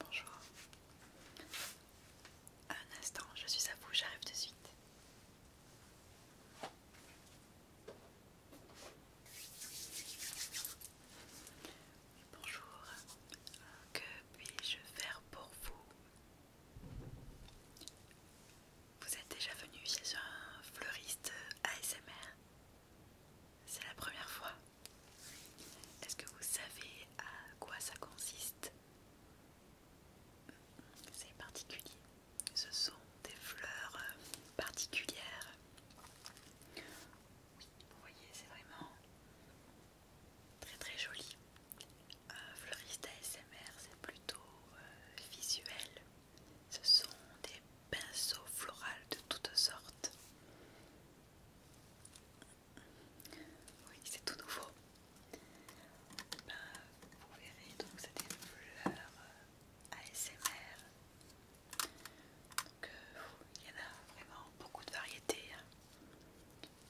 Bonjour. Un instant, je suis à vous, j'arrive de suite. Bonjour, que puis-je faire pour vous Vous êtes déjà venu chez un fleuriste ASMR C'est la première fois est-ce que vous savez à quoi ça consiste C'est particulier. Ce sont des fleurs euh, particulières. Oui, vous voyez, c'est vraiment très très joli. Un fleuriste ASMR, c'est plutôt euh, visuel. Ce sont des pinceaux floraux de toutes sortes. Oui, c'est tout nouveau. Bah, vous verrez, donc c'est des fleurs euh, ASMR. Donc, euh, il y en a vraiment beaucoup de variétés. Hein.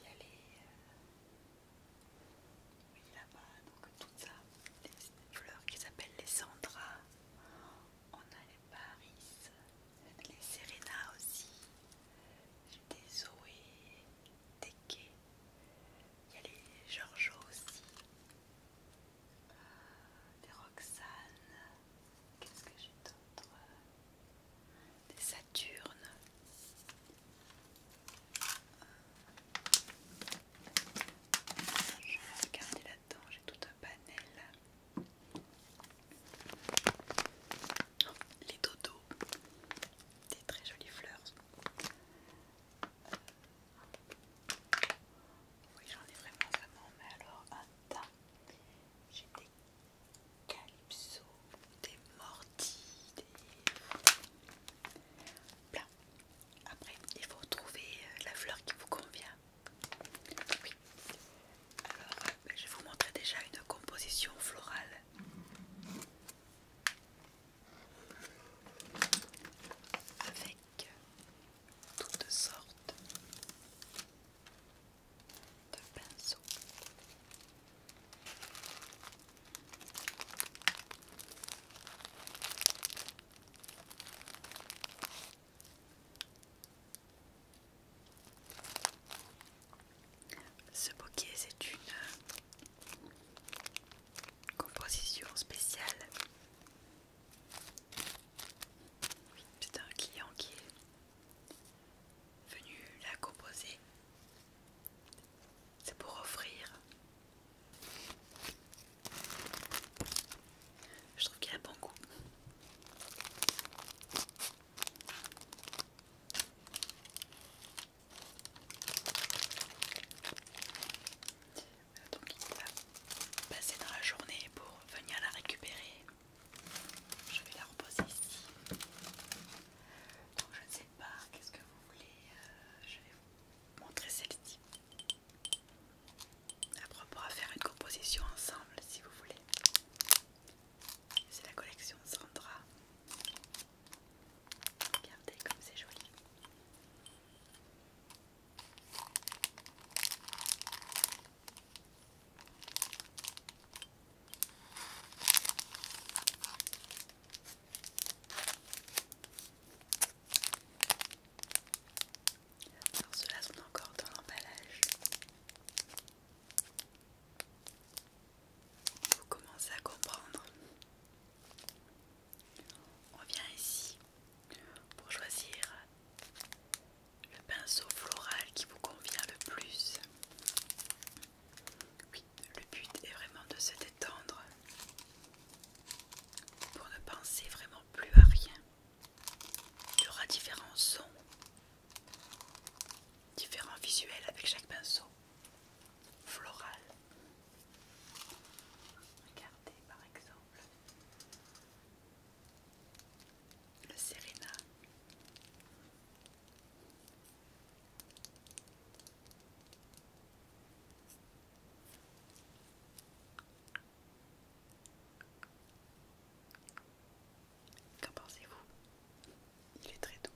Il y a les. Euh, oui, là-bas, donc tout ça. Les fleurs qui s'appellent les sandras, On a les Paris, les Serena aussi, j'ai des Zoé, des il y a les Giorgio aussi, euh, des Roxane, qu'est-ce que j'ai d'autre Des Saturnes. Euh, je vais regarder là-dedans, j'ai tout un panel. Oh, les dodos, des très jolies fleurs. Euh, oui, j'en ai vraiment, vraiment, mais alors attends, J'ai des calypso, des mortis, des. Après, il faut trouver euh, la fleur qui vous convient. Alors, ben, je vais vous montrer déjà une composition florale. Avec toutes sortes de pinceaux. Ce bouquet, c'est une euh, composition spéciale. c'est un client qui est venu la composer. C'est pour offrir. Je trouve qu'il a bon goût. Donc il va passer dans la journée pour venir la récupérer. Je vais la reposer ici. Donc je ne sais pas, qu'est-ce que vous voulez euh, Je vais vous montrer celle-ci. Après on pourra faire une composition ensemble si vous voulez. C'est la collection Sandra. Regardez comme c'est joli. Alors ceux-là sont encore dans l'emballage. Vous commencez à comprendre. On vient ici pour choisir le pinceau floral qui vous convient le plus. le but est vraiment de se détendre pour ne penser vraiment plus à rien. Il y aura différents sons, différents visuels avec chaque pinceau floral. Regardez par exemple le Serena. Qu'en pensez-vous Il est très doux.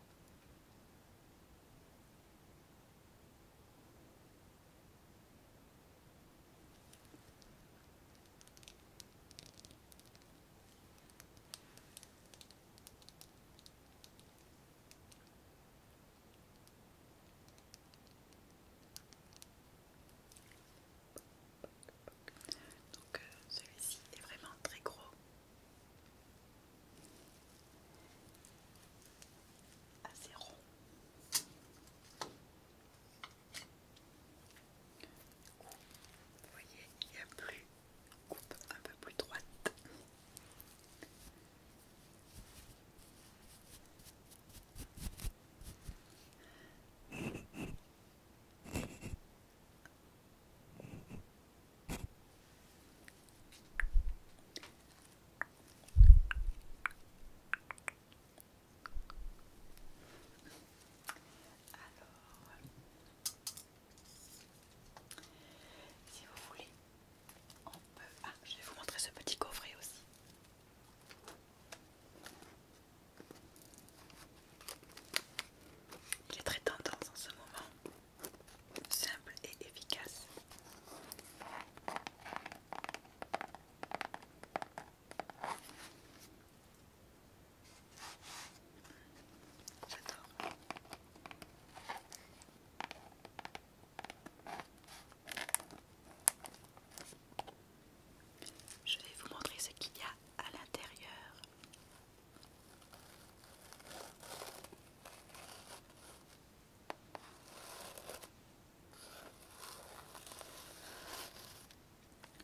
Donc euh, celui-ci est vraiment très gros assez zéro. vous voyez, il n'y a plus coupe un peu plus droite. Alors, si vous voulez, on peut... Ah, je vais vous montrer ce petit coffret aussi. Il est très tendance en ce moment, simple et efficace. Je vais vous montrer ce qu'il y a à l'intérieur.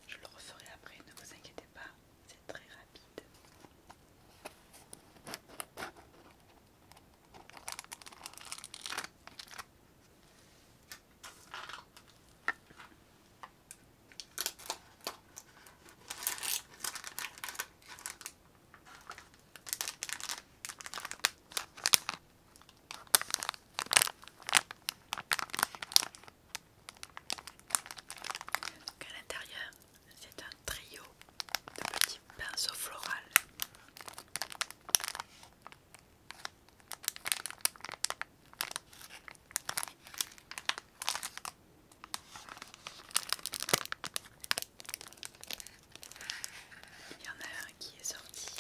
Je le referai après, ne vous inquiétez pas, c'est très rapide à l'intérieur, c'est un trio de petits pinceaux floraux. Il y en a un qui est sorti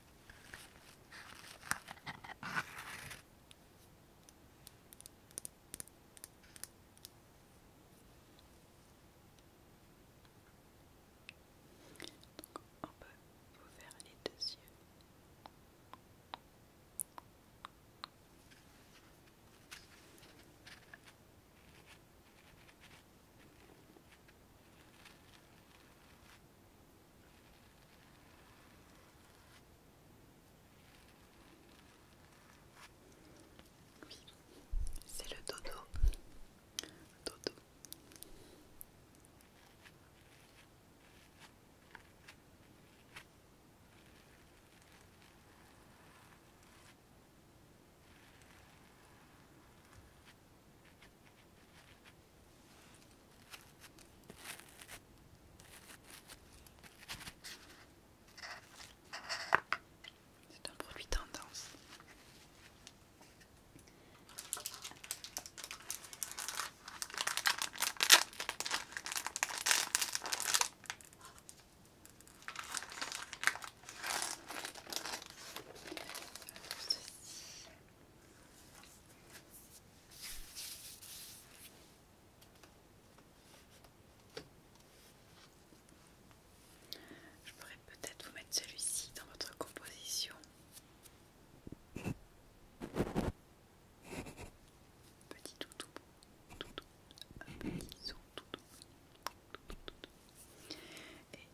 on peut vous faire les deux yeux. Oui, c'est le dodo. Dodo. C'est un produit tendance. Je pourrais peut-être vous mettre celui-ci dans votre composition. Petit toutou, toutou, un petit toutou, toutou, toutou. Et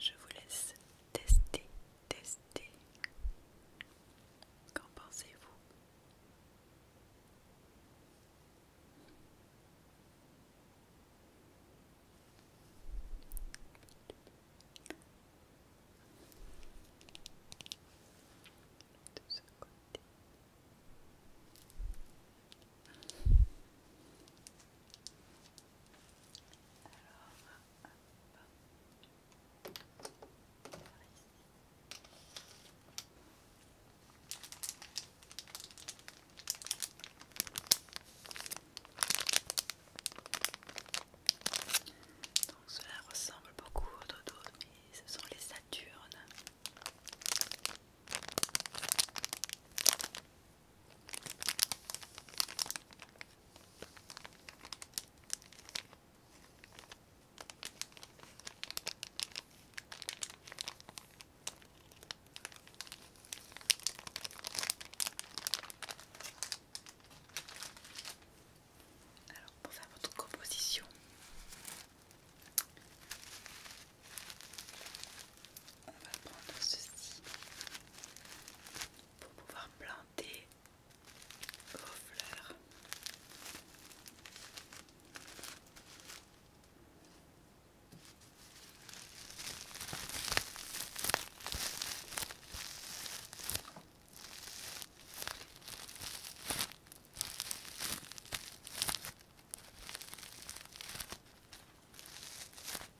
je vous laisse tester tester. Qu'en pensez-vous de ce côté. Alors, donc cela ressemble beaucoup aux dodo, mais ce sont les Saturnes. Alors pour faire votre composition, on va prendre ceci pour pouvoir planter vos fleurs.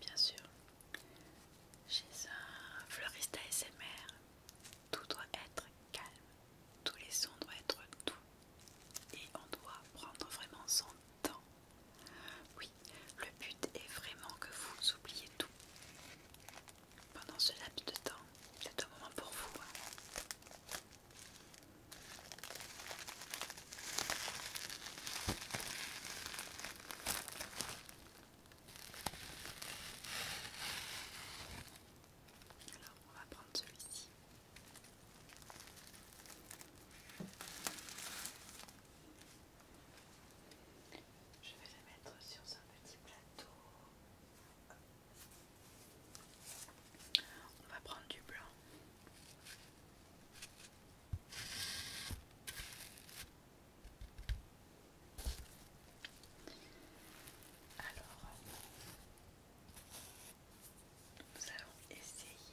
Bien sûr, chez un fleuriste ASMR, tout doit être calme, tous les sons doivent être doux et on doit prendre vraiment son temps. Oui, le but est vraiment que vous oubliez tout pendant ce laps de temps. C'est un moment pour vous. Hein. Alors, on va prendre celui-ci. Je vais le mettre sur un petit plateau. On va prendre du blanc. Alors, nous allons essayer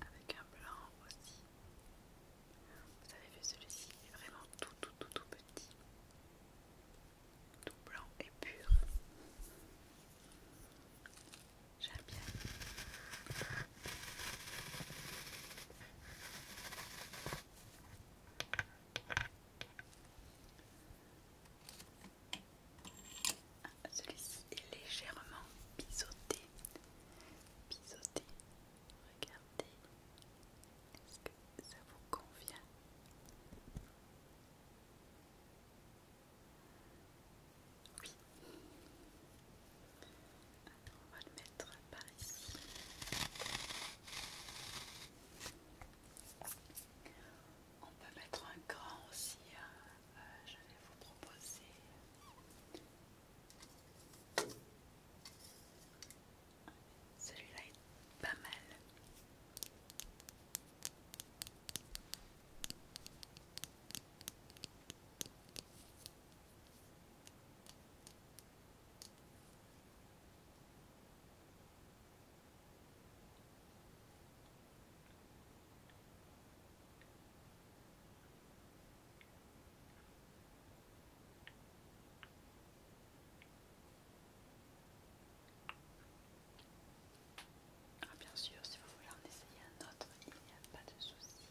avec un blanc aussi. Vous avez vu celui-ci est vraiment tout tout tout tout petit, tout blanc et pur. J'aime bien. Celui-ci est légèrement biseauté. Biseauté. Regardez. Est-ce que ça vous convient Oui. Alors on va le mettre par ici. On peut mettre un grand aussi, hein je vais vous proposer celui-là est pas mal. Ah, bien sûr, si vous voulez en essayer un autre, il n'y a pas de souci.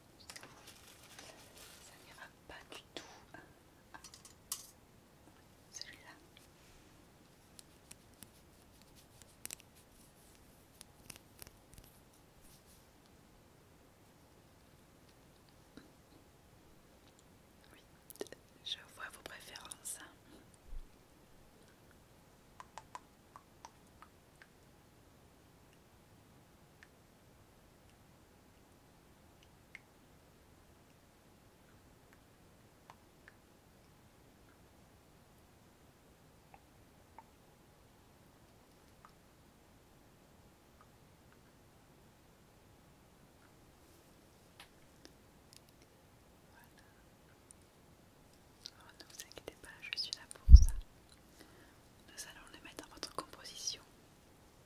Ça n'ira pas du tout. Ah, Celui-là. Oui, je vois vos préférences. Voilà. Oh, ne vous inquiétez pas, je suis là pour ça. Nous allons le mettre dans votre composition.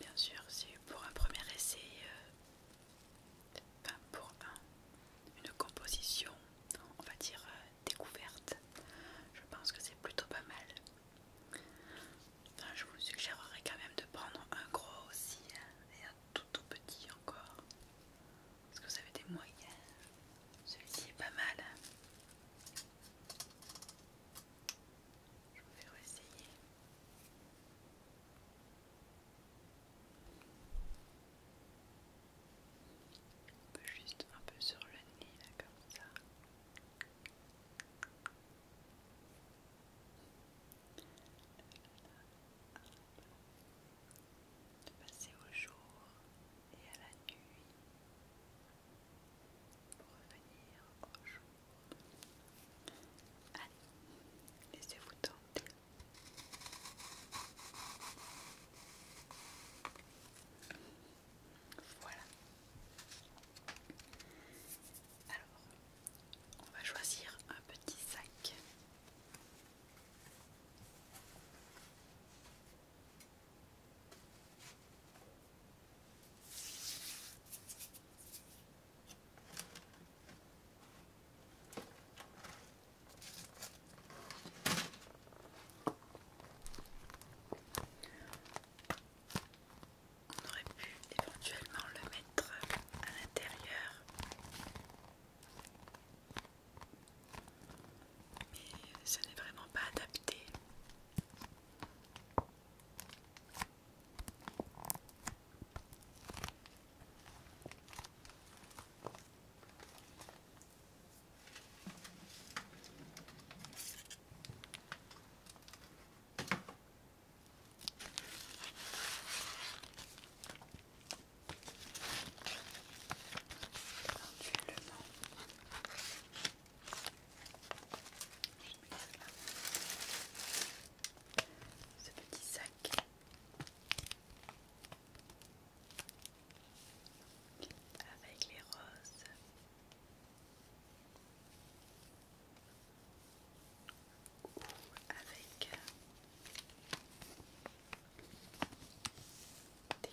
bien sûr, c'est pour un premier essai, euh, enfin pour une composition, on va dire euh, découverte, je pense que c'est plutôt pas mal. je vous suggérerais quand même de prendre un gros aussi hein, et un tout petit encore. Est-ce que vous avez des moyens Celui-ci est pas mal. Je vais réessayer. On peut juste un peu sur le nez, là, comme ça. Passer au jour et à la nuit pour revenir au jour. Allez, laissez-vous tenter. Voilà. Alors, on va choisir un petit sac. On aurait pu éventuellement le mettre à l'intérieur mais ce n'est vraiment pas adapté ce petit sac avec les roses ou avec euh, des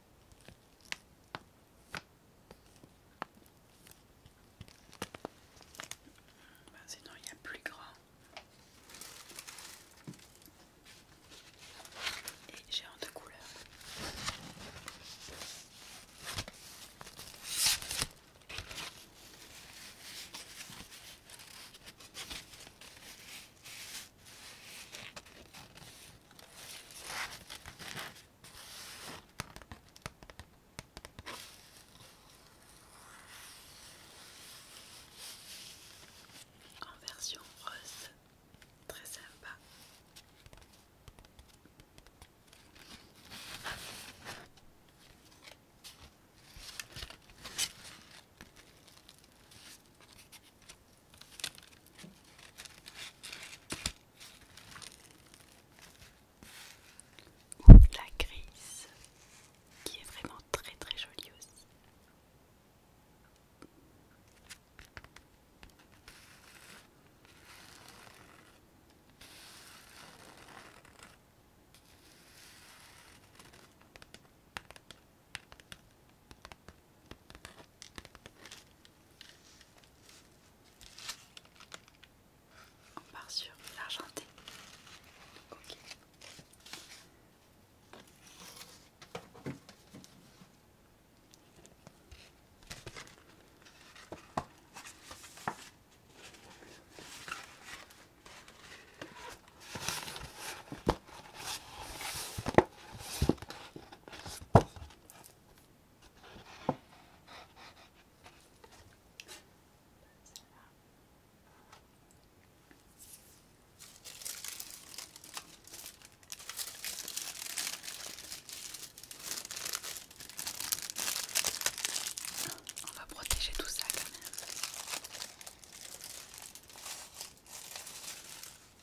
Bah, sinon, il y a plus grand. Et j'ai un de couleur. En version rose, très sympa la grise, qui est vraiment très très jolie aussi. On part sur l'argenté. On va protéger tout ça quand même.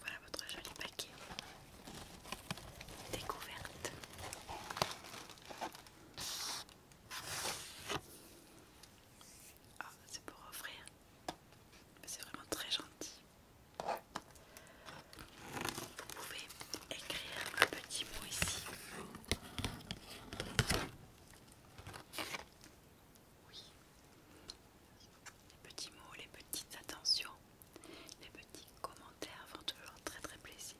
Voilà votre joli paquet découverte. Ah, c'est pour offrir. C'est vraiment très gentil. Vous pouvez écrire un petit mot ici. Oui. Les petits mots, les petites attentions, les petits commentaires font toujours très très plaisir.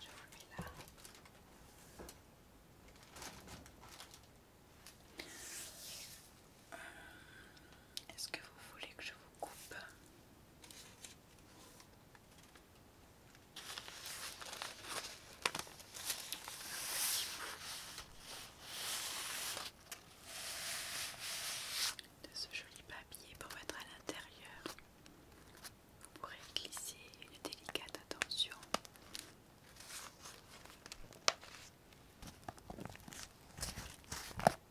Je vous mets là. Est-ce que vous voulez que je vous coupe de ce joli papier pour mettre à l'intérieur vous pourrez glisser une délicate attention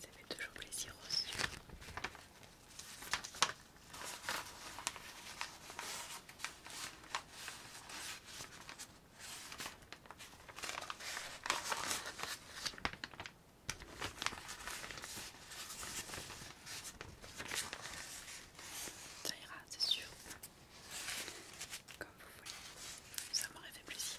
Ça fait toujours plaisir aux yeux. Ça ira, c'est sûr. Comme vous voulez. Ça m'aurait fait plaisir.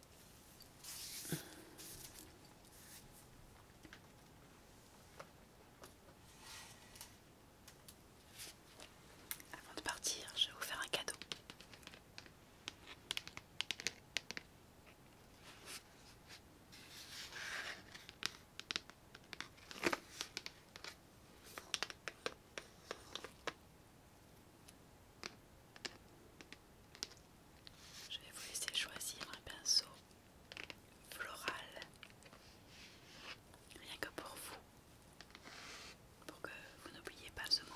Avant de partir, je vais vous faire un cadeau. Je vais vous laisser choisir un pinceau floral, rien que pour vous, pour que vous n'oubliez pas ce moment.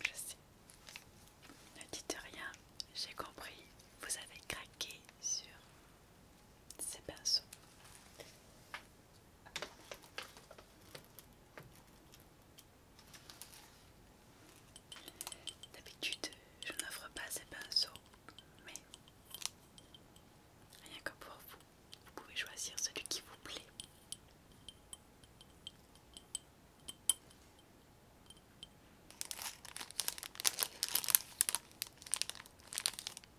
Je sais. Ne dites rien, j'ai compris. Vous avez craqué sur ces pinceaux. D'habitude, je n'offre pas ces pinceaux, mais rien que pour vous, vous pouvez choisir celui qui vous plaît.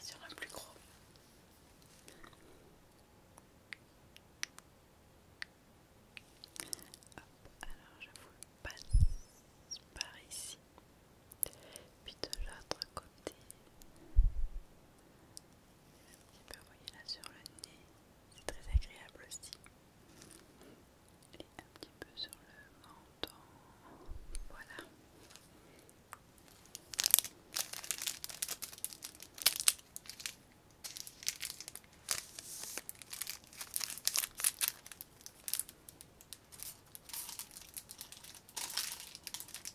C'est sur un plus gros. alors je vous le passe par ici, puis de l'autre côté. Un petit peu, sur le nez, c'est très agréable aussi. Et un petit peu sur le menton, Voilà.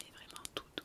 Il est vraiment tout doux.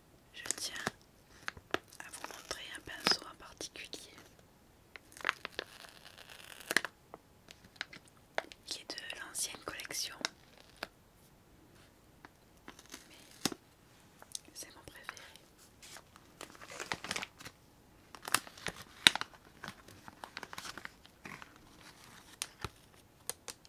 je tiens à vous montrer un pinceau en particulier qui est de l'ancienne collection mais c'est mon préféré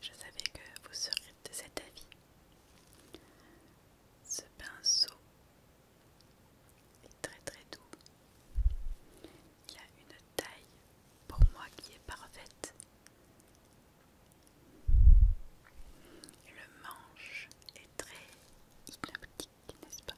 Je savais que vous seriez de cet avis. Ce pinceau est très très doux. Il a une taille pour moi qui est parfaite. Le manche est très hypnotique, n'est-ce pas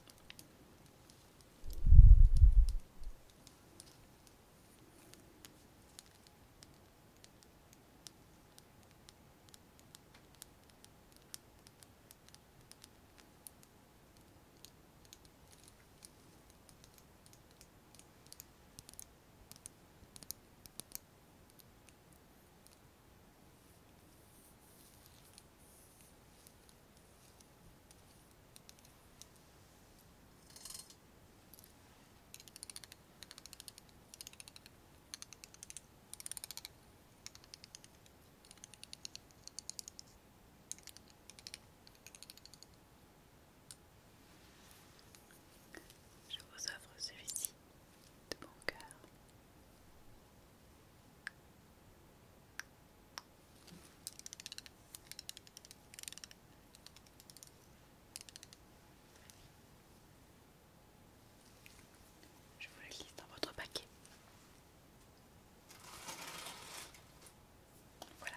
je vous offre celui-ci de mon cœur. Je vous le lis dans votre paquet. Voilà.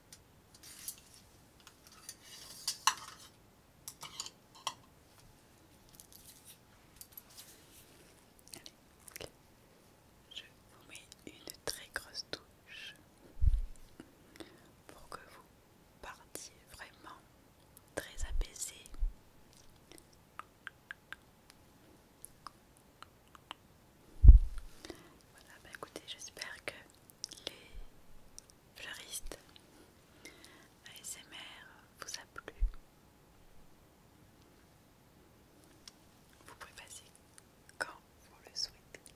Je vous mets une très grosse touche pour que vous partiez vraiment très apaisé. Voilà, bah, écoutez, j'espère que les fleuristes ASMR vous a plu vous pouvez passer quand vous le souhaitez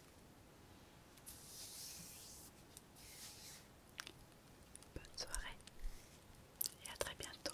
Bonne soirée et à très bientôt.